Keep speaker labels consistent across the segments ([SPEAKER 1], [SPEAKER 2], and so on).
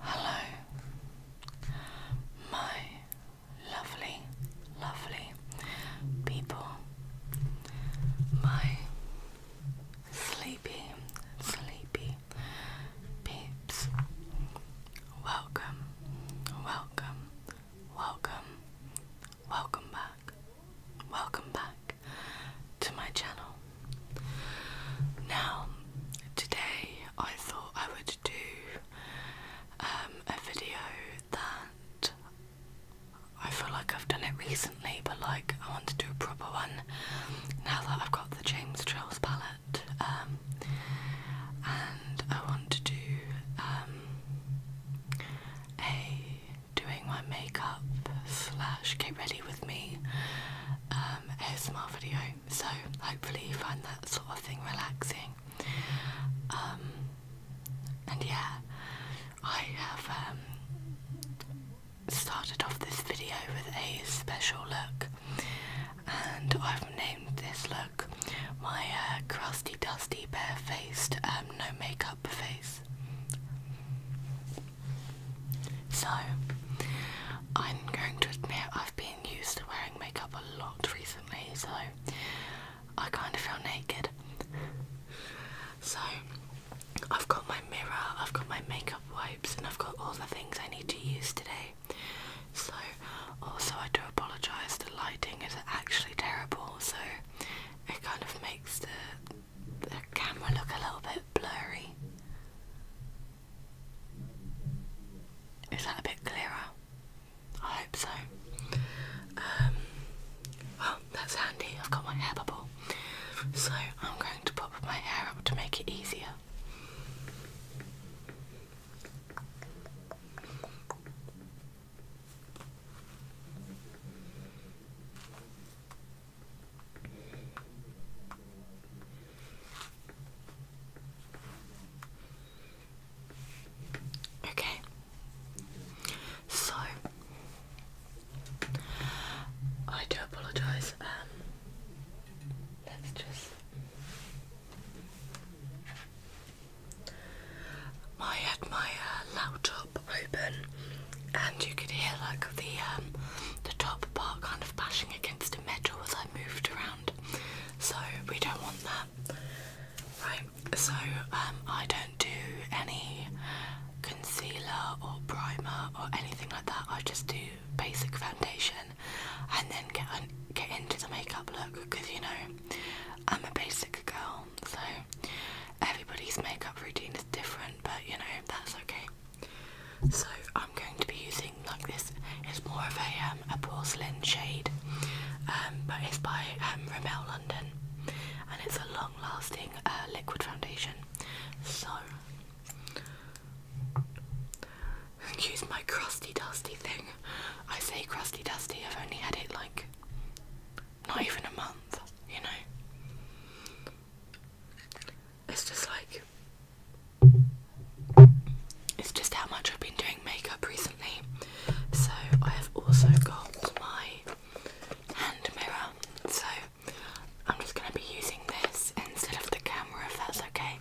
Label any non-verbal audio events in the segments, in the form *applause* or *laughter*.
[SPEAKER 1] Hello, my lovely, lovely people, my sleepy, sleepy peeps. Welcome, welcome, welcome, Welcome back. Welcome back to my channel. Now, today I thought I would do um, a video that I feel like I've done it recently, but like I want to do a proper one now that I've got the James Trails palette. Um, and I want to do um, a doing my makeup slash get ready with me um, ASMR video. So hopefully you find that sort of thing relaxing. Um, and yeah, I have um, started off this video with a special look, and I've named this look my uh, crusty, dusty, bare-faced, no makeup face. So, I'm going to admit I've been used to wearing makeup a lot recently, so I kind of feel naked. So, I've got my mirror, I've got my makeup wipes, and I've got all the things I need to use today. So, also, I do apologise, the lighting is actually terrible, so it kind of makes the the camera look a little bit blurry? Is that a bit clearer? I hope so. well, um, oh, that's handy. I've got my hair bubble. So I'm going to pop my hair up to make it easier. Okay, so I do apologize. Um, let's just. I had my uh, laptop open, and you could hear like the um, the top part kind of bashing against a metal as I moved around. So we don't want that, right? So um, I don't do any concealer or primer or anything like that. I just do basic foundation, and then get get into the makeup look because you know I'm a basic girl, so everybody's makeup routine is different, but you know, that's okay. So I'm going to be using like this. It's more of a um, a porcelain shade, um, but it's by um, London, and it's a long-lasting uh, liquid foundation. So use my crusty dusty thing. I say crusty dusty. I've only had it like not even a month, you know? It's just like. It's just how much I've been doing makeup recently. So I have also got my hand mirror. So I'm just going to be using this instead of the camera if that's okay.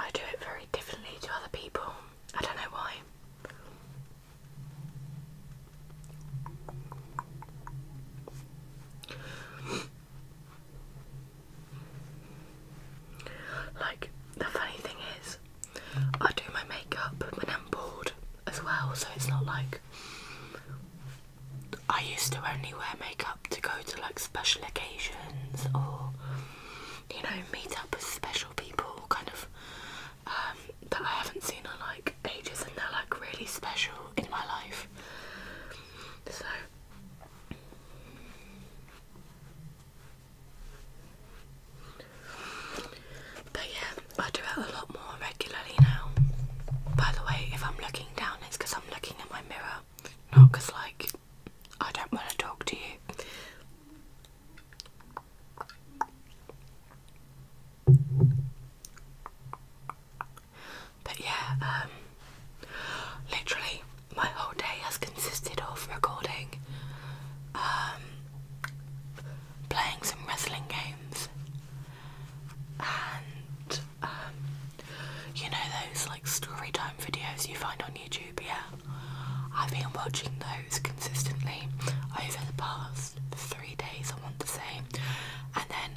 [SPEAKER 1] I do it very differently to other people. I don't know why. like, the funny thing is, I do my makeup when I'm bored as well, so it's not like I used to only wear makeup to go to like special occasions or you know meet up with special people kind of um, that I haven't seen in like ages and they're like really special in my life. So but yeah, I do it a lot more regularly now. By the way, if I'm looking down, it's because I'm looking at my mirror, not because, like, I don't want to talk to you. But yeah, um, literally, my whole day has consisted of recording. Um, playing some wrestling games and um, you know those like story time videos you find on YouTube, yeah? I've been watching those consistently over the past three days, I want to say, and then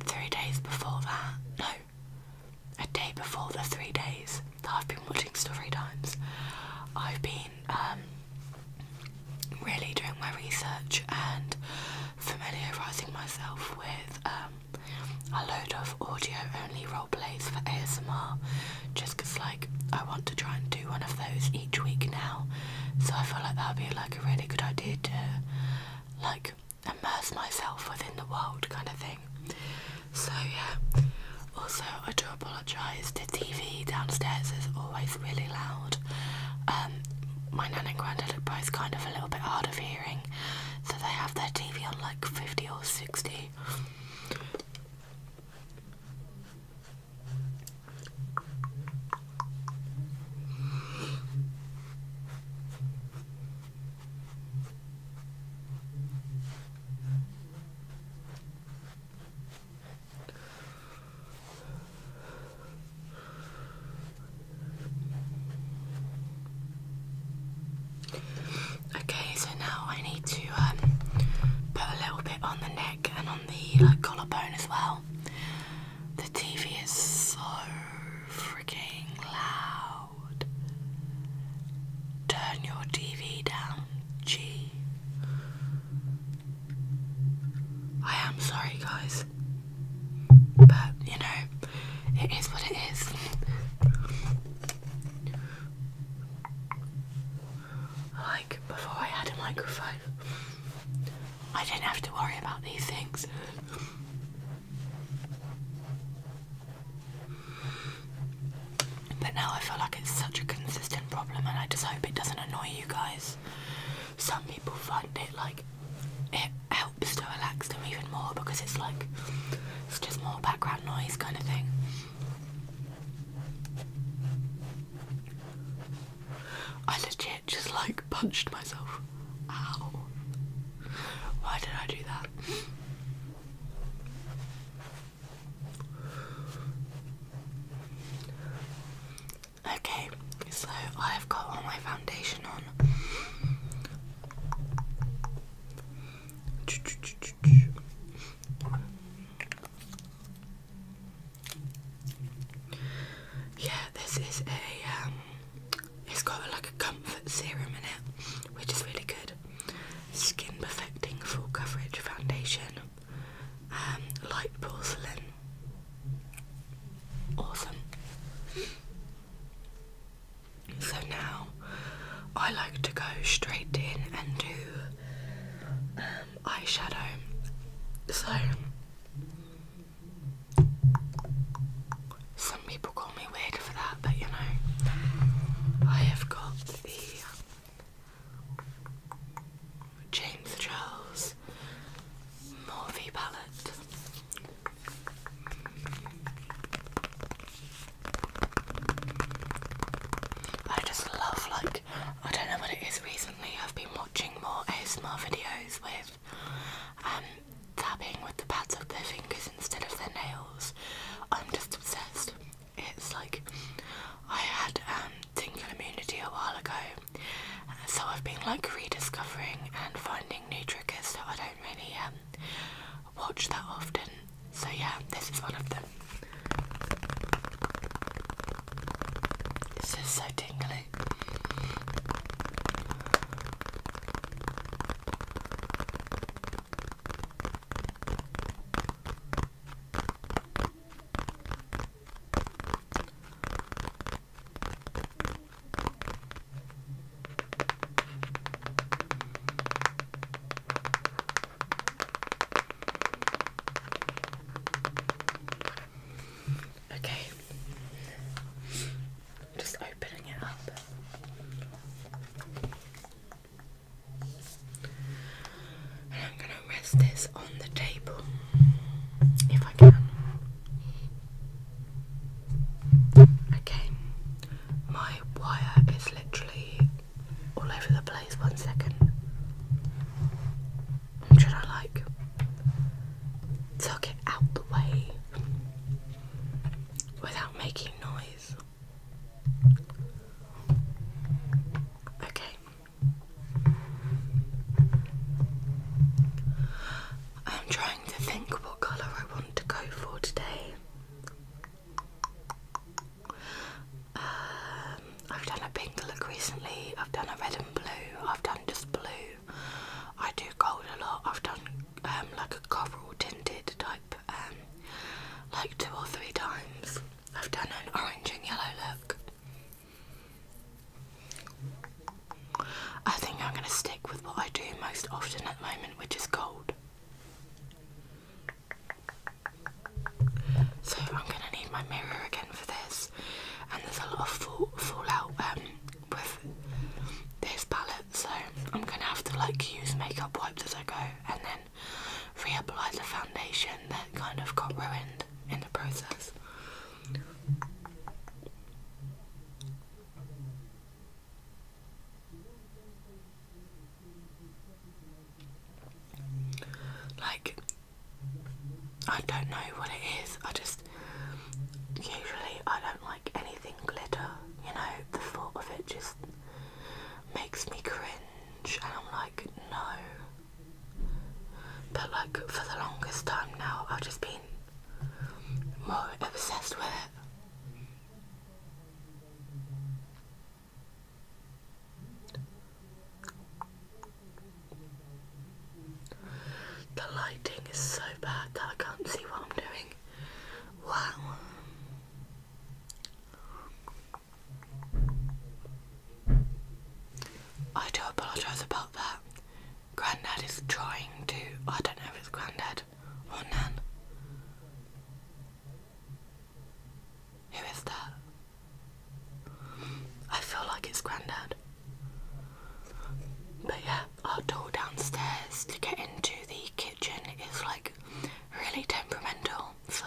[SPEAKER 1] three days before that, no, a day before the three days that I've been watching story times, I've been um, really doing my research and familiarising myself with um, a load of audio only role plays for ASMR just because like I want to try and do one of those each week now so I feel like that would be like a really good idea to like immerse myself within the world kind of thing so yeah also I do apologise to TV downstairs is always really loud. Um, my nan and granddad are both kind of a little bit hard of hearing, so they have their TV on like 50 or 60. Okay, so now I need to um, put a little bit on the neck and on the collarbone as well. The TV is so freaking loud. Turn your TV down, G. I am sorry, guys, but you know, it is what it is. Like, before I had a microphone, I didn't have to worry about these things. But now I feel like it's such a consistent problem, and I just hope it doesn't annoy you guys some people find it like it helps to relax them even more because it's like it's just more background noise kind of thing. I legit just like punched myself. Ow. Why did I do that? Okay, so I have got all my foundation on. Yeah, this is a um, it's got like a comfort serum in it, which is really good. Skin perfecting full coverage foundation. Um, light porcelain Awesome. So now I like to go straight in and do um, eyeshadow. So some people call me weird for that, but you know, I have got the James Charles Morphe palette. I just love like I don't know what it is recently I've been watching more ASMR videos with um tapping with the pads of their fingers instead of their nails. I'm just obsessed. It's like I had um tingle immunity a while ago so I've been like rediscovering and finding new triggers so I don't really um, watch that often. So yeah, this is one of them. This is so tingly. Okay, just opening it up. And I'm going to rest this on the table if I can. Okay, my wire is literally all over the place. One second. I'm trying to like tuck it out the way without making noise. Okay. I'm trying to think what colour I want to go for today. Um, I've done a pink look recently, I've done a red and blue, I've done just blue. I do gold a lot, I've done um, like a coral tinted type um, like two or three times. I've done an orange and yellow look. I think I'm going to stick with what I do most often at the moment, which is gold. So I'm going to need my mirror again for this, and there's a lot of fallout um, with this palette, so I'm going to have to like use makeup wipes as I go, and then reapply the foundation that kind of got ruined in the process. Like, I don't know what it is. I just usually I don't like anything glitter. You know, the thought of it just makes me cringe, and I'm like, no. But like for the longest time now, I've just been more obsessed with it. The lighting is so bad that I can't see what I'm doing. Wow. I do apologise about that. Granddad is trying to. I don't know if it's Granddad or Nan. Who is that? I feel like it's Granddad. But yeah, our door downstairs to get into the kitchen is like really temperamental, so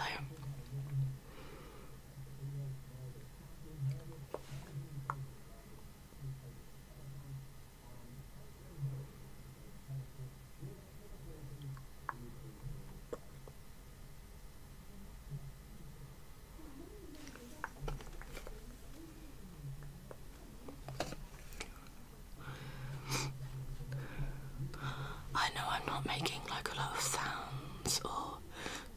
[SPEAKER 1] I know I'm not making like a lot of sounds or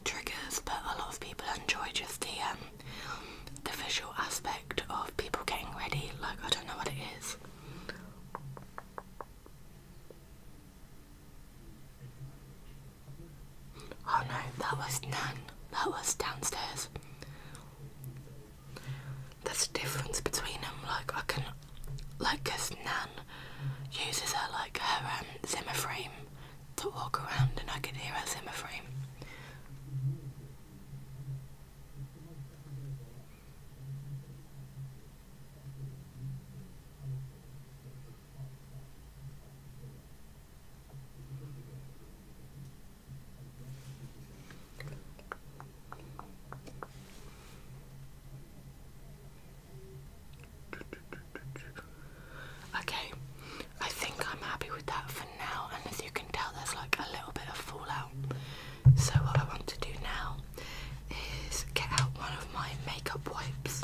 [SPEAKER 1] triggers, but a lot of people enjoy just the um, the visual aspect of people getting ready. Like I don't know what it is. Oh no, that was none. That was downstairs. That's a difference between them. Like I can, like, cause Nan uses her like her um, Zimmer frame to walk around and I could hear her Zimmer frame. Okay, I think I'm happy with that for now, and as you can tell, there's like a little bit of fallout. So, what I want to do now is get out one of my makeup wipes.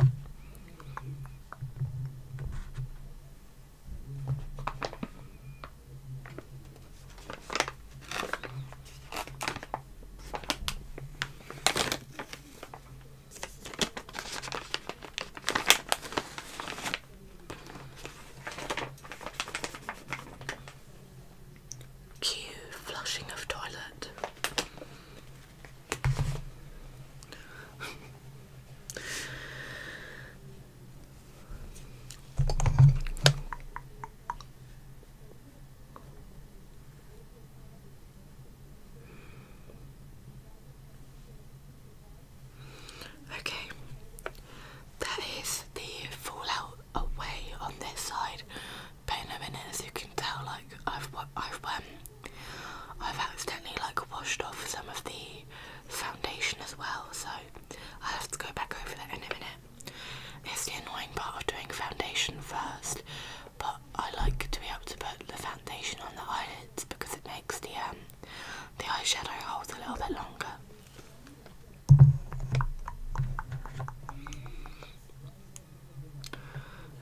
[SPEAKER 1] Cue flushing of toilet. Okay, that is the fallout away on this side. In a minute, as you can tell, like I've I've um, I've accidentally like washed off some of the foundation as well, so I'll have to go back over that in a minute. It's the annoying part of doing foundation first, but I like to be able to put the foundation on the eyelid because it makes the um, the eyeshadow hold a little bit longer.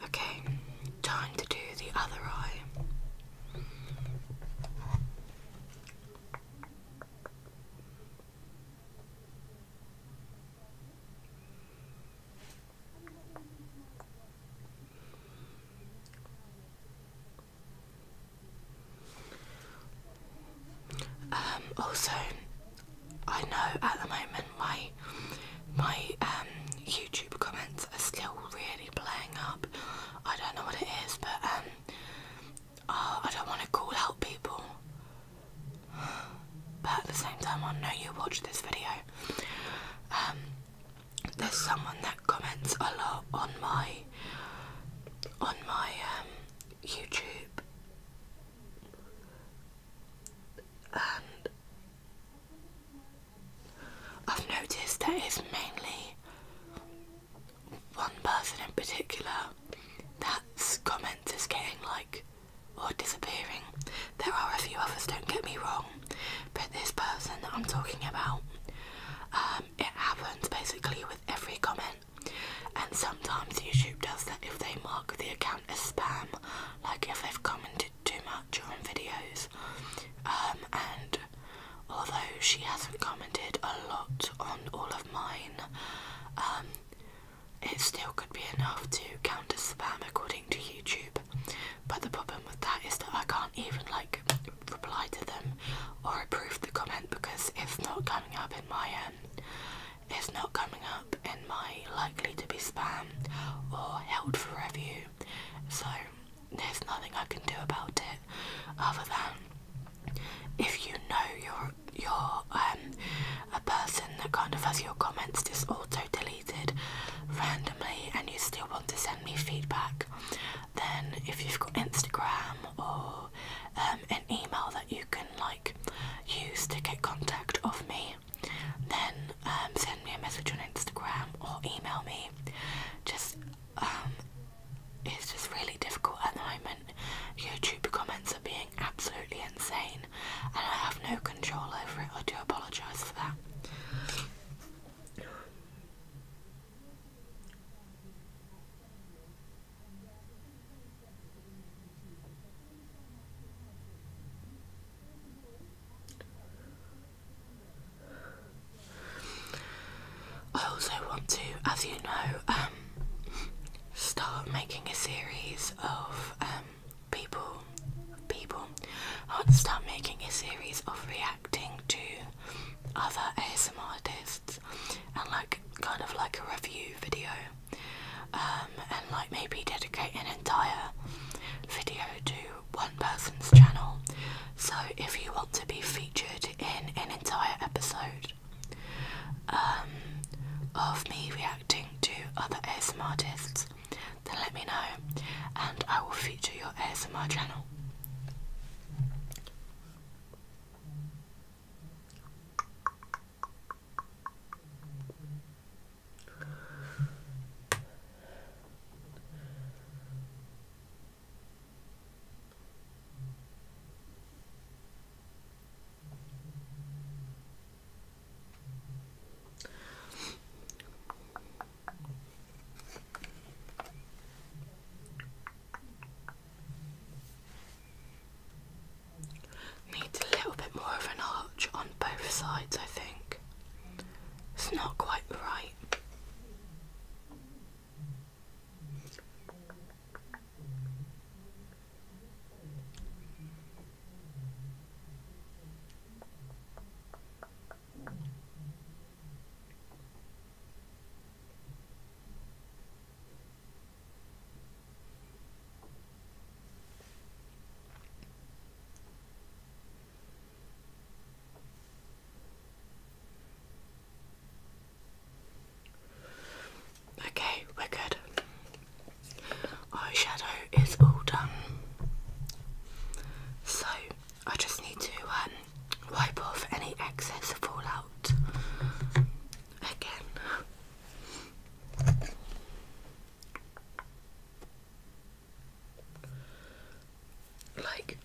[SPEAKER 1] Okay, time to do the other eye. Um, also, I know at the moment my my um, YouTube comments are still really playing up. I don't know what it is, but um, oh, I don't want to call out people. But at the same time, I know you watch this video there's someone that comments a lot on my on my um, YouTube and I've noticed that it's mainly one person in particular that's comments is getting like or disappearing there are a few others, don't get me wrong, but this person I'm talking about, um, it happens basically with every comment. And sometimes YouTube does that if they mark the account as spam, like if they've commented too much on videos. Um, and although she hasn't commented a lot on all of mine, um, it still could be enough to count as spam according to YouTube. But the problem with that is that I can't even like reply to them or approve the comment because it's not coming up in my um it's not coming up in my likely to be spam or held for review. So there's nothing I can do about it other than if you know you're you're um a person that kind of has your comments just auto delete randomly and you still want to send me feedback, then if you've got Instagram or um, an email that you can like use to get contact of me, then um, send me a message on Instagram or email me. Just um, it's just really difficult at the moment. YouTube comments are being absolutely insane, and I have no control over it. I do apologise for that. I also want to, as you know, um, start making a series of um, people, people ought to start making a series of reacting to other ASMR artists and like kind of like a review video, um, and like maybe dedicate an entire video to one person's channel. So if you want to be featured in an entire episode um, of me reacting to other ASMR artists, then let me know and I will feature your ASMR channel. Needs a little bit more of an arch on both sides, I think. It's not quite right. Okay, we're good. Eyeshadow is all done. So I just need to um, wipe off any excess fallout again. Like,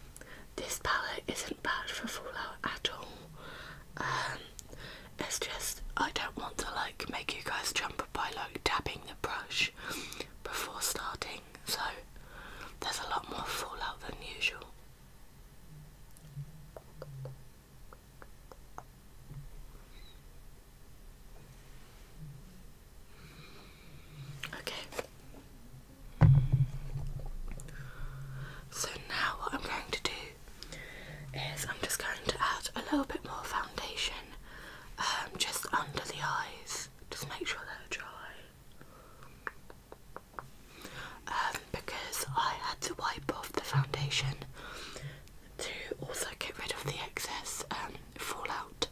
[SPEAKER 1] this palette isn't bad for fallout at all. Um, it's just I don't want to like make you guys jump by like dabbing the brush before starting so there's a lot more fallout than usual. Okay. So now what I'm going to do is I'm just going to add a little bit more foundation um, just under the eyes just make sure they're dry. Um, because I had to wipe off the foundation to also get rid of the excess um, fallout.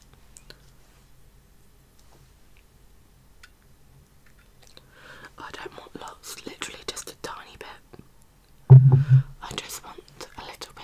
[SPEAKER 1] I don't want lots, literally just a tiny bit. I just want a little bit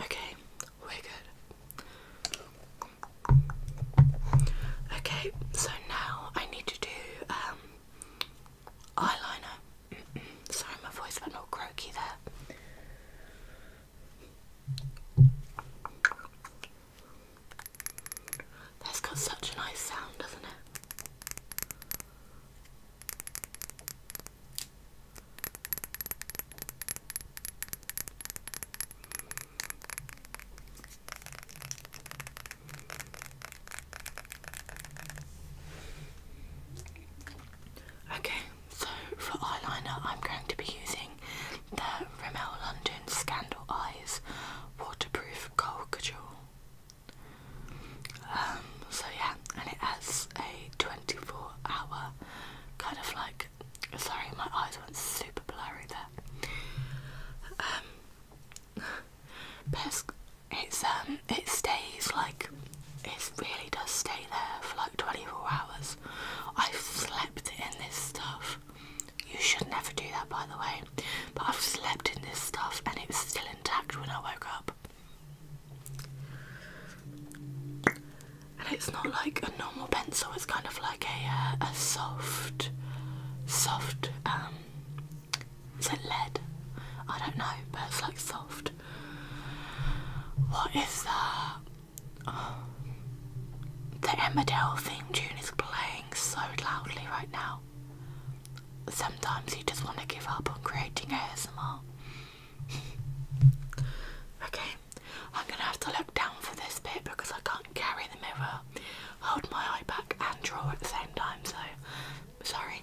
[SPEAKER 1] Okay, we good. Okay, so now I need to do um, eyeliner. *clears throat* Sorry, my voice went all croaky there. That's got such a nice sound, doesn't it? Okay. So for eyeliner, I'm going to be using the Rimmel London Scandal Eyes Waterproof Cold um, so yeah, and it has a 24 hour kind of like, sorry my eyes went super blurry there. Um, but it's, um, it stays like, it really does stay there for like 24 hours. I've slept in this stuff. You should never do that, by the way. But I've slept in this stuff and it was still intact when I woke up. And it's not like a normal pencil, it's kind of like a, uh, a soft, soft, um, is it lead? I don't know, but it's like soft. What is that? Oh, the Emmerdale theme tune is playing so loudly right now. Sometimes you just want to give up on creating ASMR. *laughs* okay, I'm gonna have to look down for this bit because I can't carry the mirror, hold my eye back, and draw at the same time, so sorry.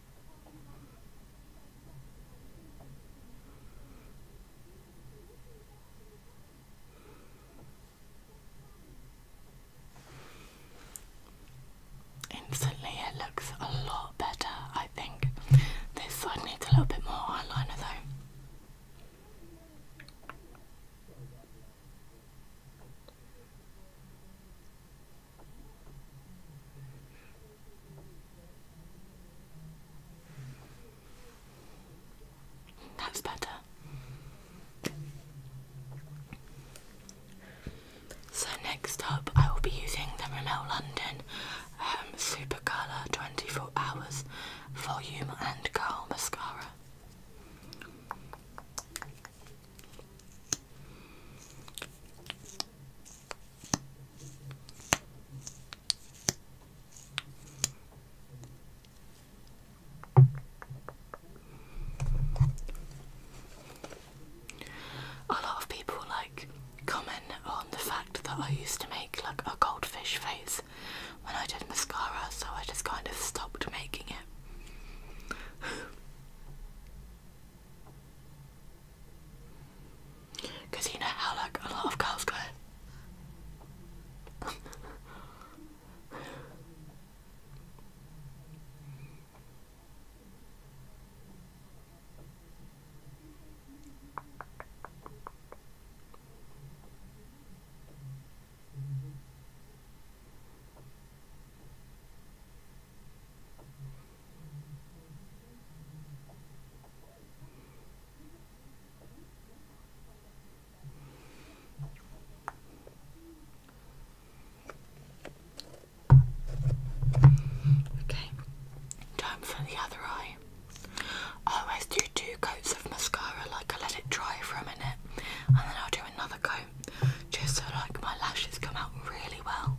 [SPEAKER 1] Instantly, it looks a lot better, I think. This side needs a little bit more eyeliner though. That's better. So next up, I will be using the Rimmel London um, Super Colour 24 Hours Volume and Curl Mascara. A lot of people like comment on the fact that I used to make like a goldfish face when I did mascara, so I just kind of stopped making it. Cause you know how like a lot of girls go. Okay, time for the other eye. Oh, I always do two coats of mascara, like I let it dry for a minute and then I'll do another coat just so like my lashes come out really well.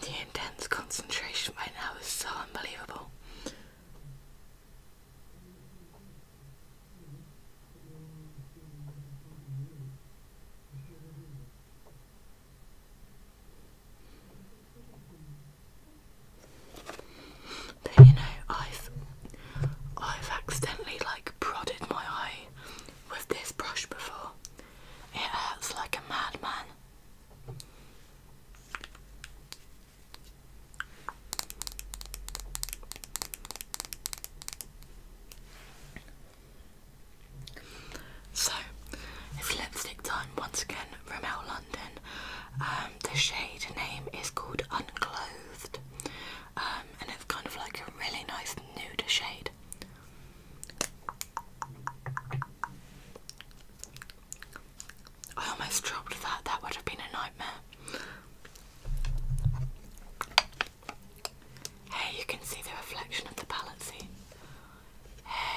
[SPEAKER 1] The intense concentration right now is so unbelievable. But you know, I've I've accidentally like prodded my eye with this brush before. It hurts like a madman. So it's lipstick time once again from L London. Um, the shade name is called Unclothed, um, and it's kind of like a really nice nude shade. I almost dropped that. That would have been a nightmare. Hey, you can see the reflection of the palette Hey.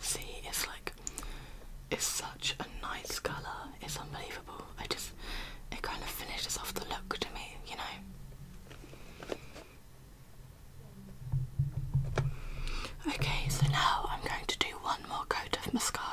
[SPEAKER 1] See, it's like it's such a nice colour, it's unbelievable. I just it kind of finishes off the look to me, you know. Okay, so now I'm going to do one more coat of mascara.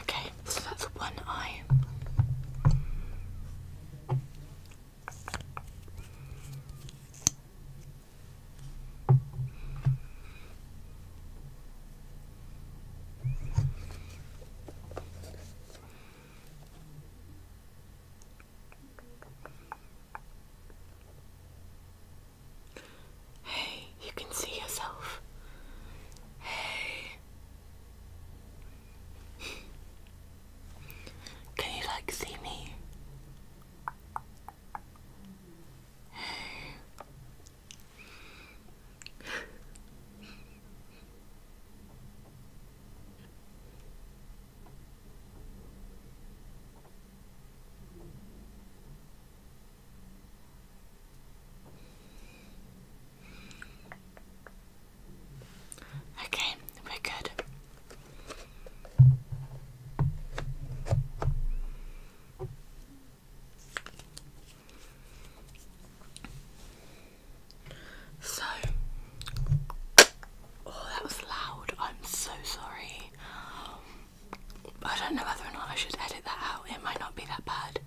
[SPEAKER 1] Okay, so that's one eye. Hey, you can see yourself. Hey. Can you like see me? Hey. Okay, we're good. So, oh, that was loud. I'm so sorry. I don't know whether or not I should edit that out. It might not be that bad.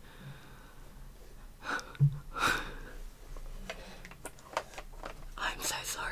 [SPEAKER 1] I'm so sorry.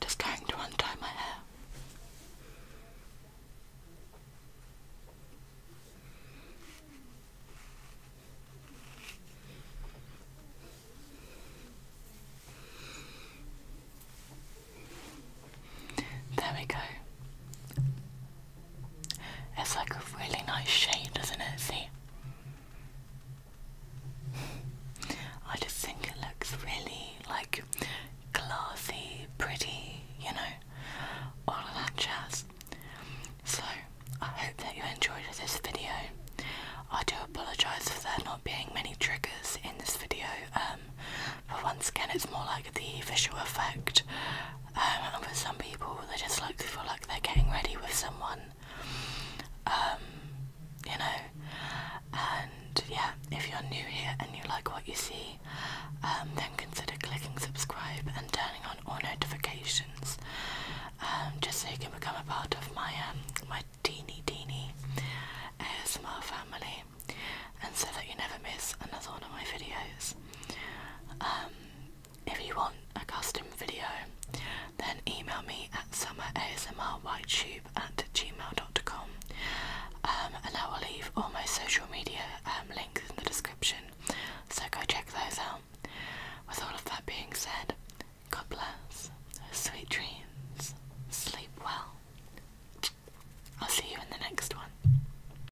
[SPEAKER 1] Just going to untie my hair. There we go. It's like a really nice shade, isn't it? See? I just think it looks really like classy, pretty, you know, all of that jazz. So, I hope that you enjoyed this video. I do apologise for there not being many triggers in this video, um, but once again, it's more like the visual effect and um, for some people, they just like to feel like they're getting ready with someone, um, you know. And yeah, if you're new here and you like what you see, um, then consider clicking subscribe and turning on all notifications, just so you can become a part of my my teeny teeny ASMR family, and so that you never miss another one of my videos. Um, if you want a custom video, then email me at summerasmrytube at gmail.com um, and I will leave all my social media um, links in the description, so go check those out. With all of that being said, God bless, sweet dreams, sleep well. I'll see you in the next one.